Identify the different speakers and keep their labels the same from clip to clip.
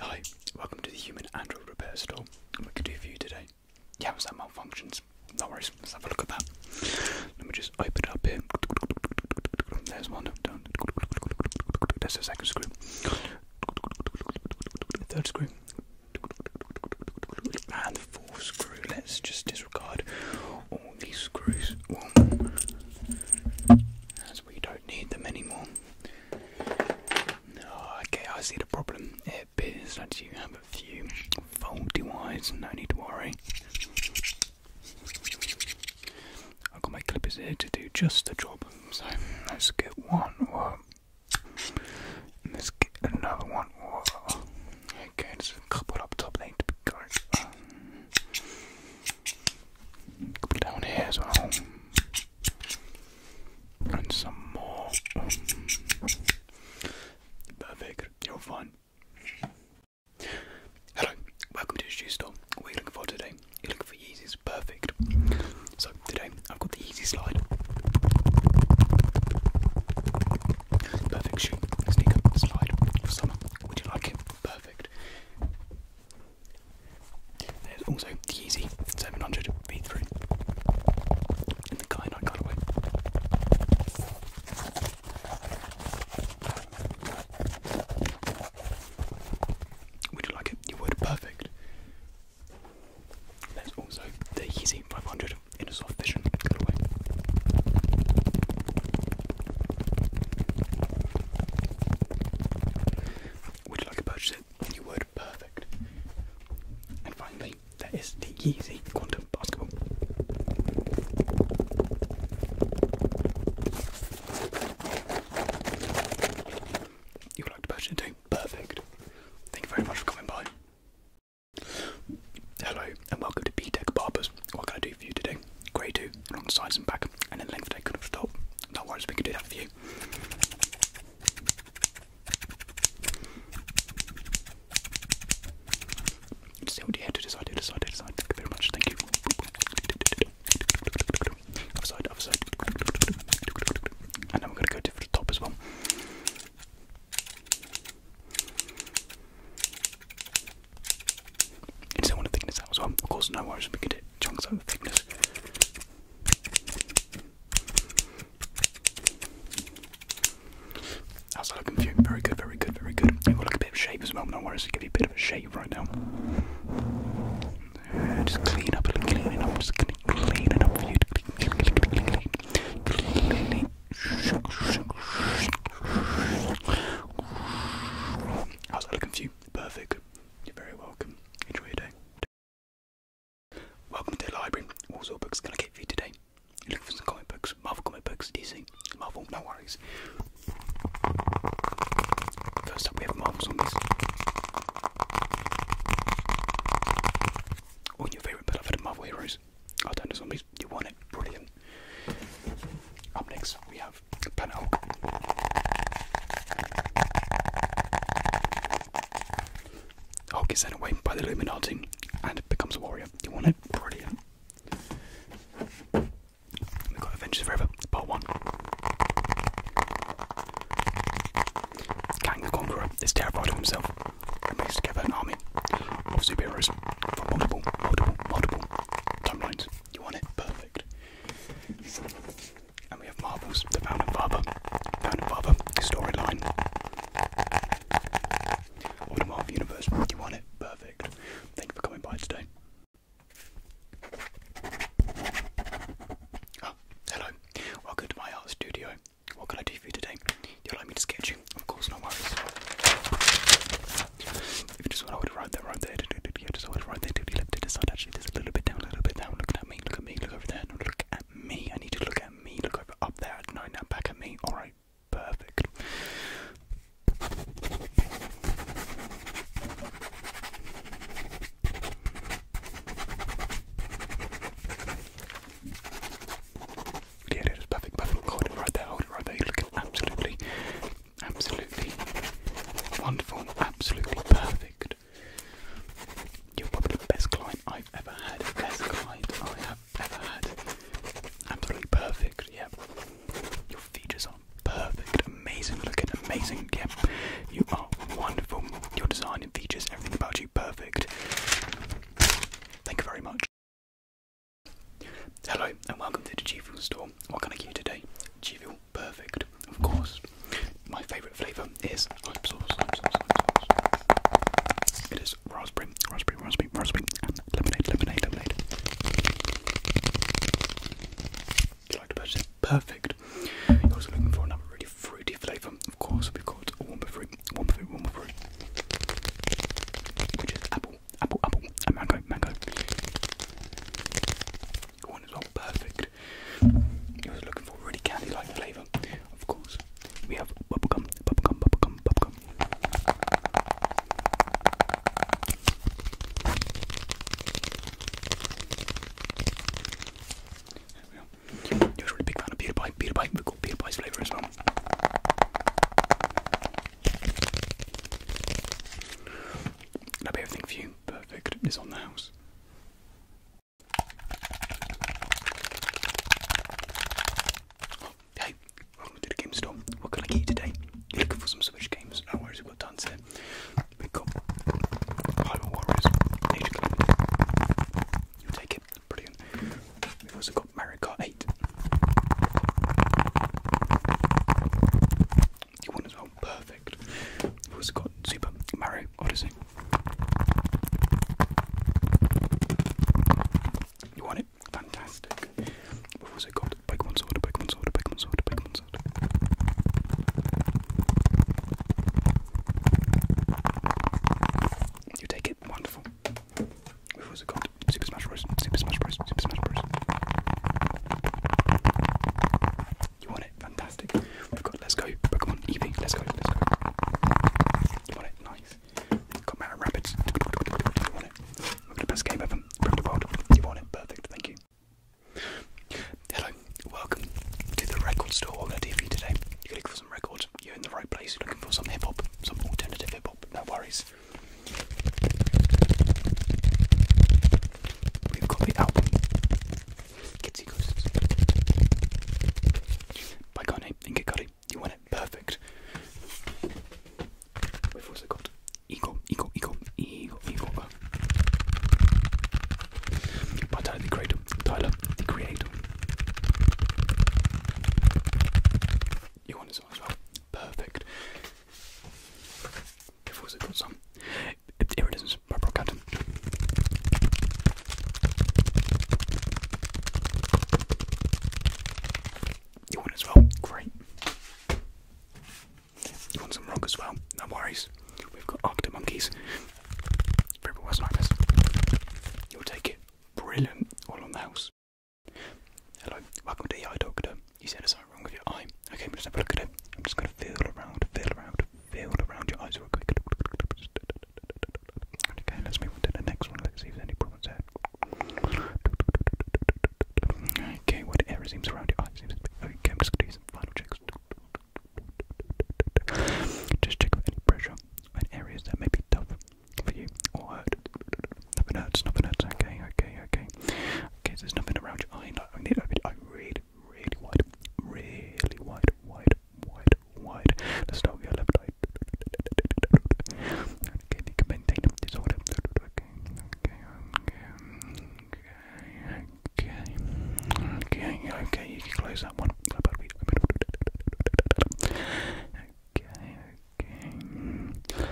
Speaker 1: Hi, welcome to the Human Android Repair Store. What can we do for you today? Yeah, was that malfunctions? No worries, let's have a look at that. Let me just open it up here. There's one done. There's the second screw. third screw. And the fourth screw. Let's just disregard all these screws we don't need them anymore. Oh, okay, I see the problem. Eh, it appears that you have a few faulty wires, no need to worry. I've got my clippers here to do just the job, so let's get one. Let's get another one. Okay, there's a couple up top, they to be going. Couple down here as well. And some more. Perfect, you're fine. Hello, welcome to the shoe store. What are you looking for today? You're looking for Yeezys, perfect. So today I've got the easy slide. Perfect shoe, sneaker, slide summer. Would you like it? Perfect. There's also the Yeezy 700 V3 in the kyanite colorway. Would you like it? You would. Perfect. There's also the Yeezy 500 in a soft vision colorway. Would you like to purchase it? You would. Perfect. And finally, there is the Yeezy Quantum Basketball. You would like to purchase it too? Perfect. Thank you very much for coming by. Hello and welcome to B Tech Barbers. What can I do for you today? grey two along the sides and back, and then length taken off the top. No worries, we can do that for you. see what you had to decide, decide, decide. Thank you very much, thank you. Other side, And then we're going to go to the top as well. It's I want to thickness out as well. Of course, no worries, we can do chunks over thickness. How's that looking for you? Very good, very good, very good. It will look a bit of shape as well, no worries, I'll give you a bit of a shape right now. Uh, just clean up, clean it up, just clean, clean it up for you. Clean, clean, clean, clean, clean, I was looking for you? Perfect. You're very welcome. Enjoy your day. Welcome to the library. What sort of books can I get for you today? You're looking for some comic books? Marvel comic books, DC, Marvel, no worries. First up, we have Marvel Zombies. All your favourite, but Marvel heroes zombies. Oh, don't do zombies. You want it. Brilliant. Up next, we have Pan Hulk. Hulk is sent away by the Illuminati and becomes a warrior. You want it. Brilliant. We've got Avengers Forever, part one. Kang the Conqueror is terrified of himself and brings together an army of superheroes from multiple, multiple, multiple timelines. You want it? Perfect. And we have Marvel's The Founding Father, Founding Father storyline of the Marvel Universe. You want it? Perfect. Thank you for coming by today. Ah, hello. Welcome to my art studio. What can I do review today. Do you like me to sketch you? Of course, no worries. If you just want to hold it right there, right yeah, just hold it right there till you lift it Actually, there's a little bit down, a little bit down. Look at me, look at me, look over there. look at me. I need to look at me. Look over up there. No, now back at me. All right, perfect. Yeah, it is perfect, perfect. Hold it right there, hold it right there. You're absolutely, absolutely wonderful, absolutely perfect. You're probably the best client I've ever had. Best client I have ever had. Absolutely perfect, yeah. Your features are perfect, amazing looking, amazing, yeah. You are wonderful. Your design and features, everything about you, perfect. Thank you very much. Hello and welcome to the G Fuel store. What can I get you today? G Fuel Perfect, of course. My favourite flavour is It is raspberry, raspberry, raspberry, raspberry, and lemonade, lemonade, lemonade. You like to purchase Perfect. You're also looking for another really fruity flavour. Of course, we've got a one for fruit, one fruit, one fruit, which is apple, apple, apple, and mango, mango. One is all perfect. I was looking for really candy-like flavour. Of course, we have bubblegum, bubblegum, bubblegum, bubblegum. There we are. Usually a big fan of Pewter Pie. Pewter Pie, we've got Pewter Pie's flavour as well. That'll be everything for you. Perfect. It's on the house. hey, welcome to the game store. What can I get you today? You're looking for some Switch games. No worries, we've got tons here. We've got Hyrule Warriors. you take it. Brilliant. We've also got Mario Kart 8. You won as well. Perfect. We've also got Super Mario Odyssey. You want it? Fantastic. We've also got Pokemon Sword, Pokemon Sword, Pokemon Sword, Pokemon Sword. You take it. Wonderful. What was it called? Super Smash Bros. Super Smash Bros. Super Smash Bros. You want it? Fantastic. We've got Let's Go Pokemon Eevee. Let's go. Let's go. You want it? Nice. Got Mario Rabbits. You want it? We're the best game ever from the world. You want it? Perfect. Thank you. Hello. Welcome to the record store. I'm going to do you today? You're going to for you're in the right place. You're looking for some hip hop, some alternative hip hop. No worries. We've got the album Kitsy Ghosts by Kanye and Kid Cudi. You want it? Perfect. We've also got Ego, Ego, Ego, Ego, Ego. Tyler the Creator. Tyler the Creator. You want this as well? Perfect. We've also got some iridescent rubber cotton. You want as well? Great. You want some rock as well? No worries. We've got octa monkeys. You'll take it. Brilliant. All on the house. Hello. Welcome to the eye doctor. You said there's something wrong with your eye. Okay, let's have a look at it. I'm just going to feel around, feel around, feel around your eyes Okay, let's move to the next one. Let's see if there's any problems there. Okay, what seems around your eyes? Okay, just do some final checks. Just check for any pressure and areas that may be tough for you or hurt. Nothing hurts, nothing hurts. Okay, okay, okay. Okay, so there's nothing around your eye. No, I need to open it up really, really wide. Really wide, wide, wide, wide. Let's start with your left eye. Okay, you can maintain them. Disorder. Okay, okay, okay. Okay, Okay, okay, okay, you can close that one. Okay, okay.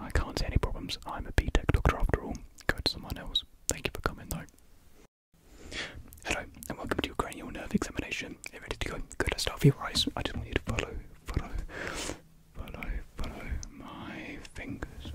Speaker 1: I can't see any problems. I'm B Tech doctor after all. Go to someone else. Thank you for coming though. Hello, and welcome to your cranial nerve examination. Are you ready to go? Good, let start with your eyes. I just want you to follow, follow, follow, follow my fingers.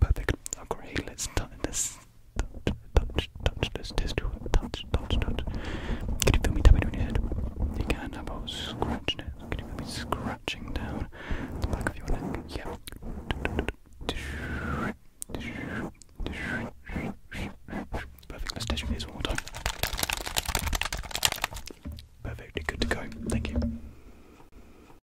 Speaker 1: Perfect. Okay, let's touch this. Touch, touch, touch, let's it. Touch, touch, touch. Can you feel me tapping on your head? You can. How about scratching it? Can you feel me scratching down the back of your neck? Yeah. Perfect. Let's test this one more time. Perfectly good to go. Thank you.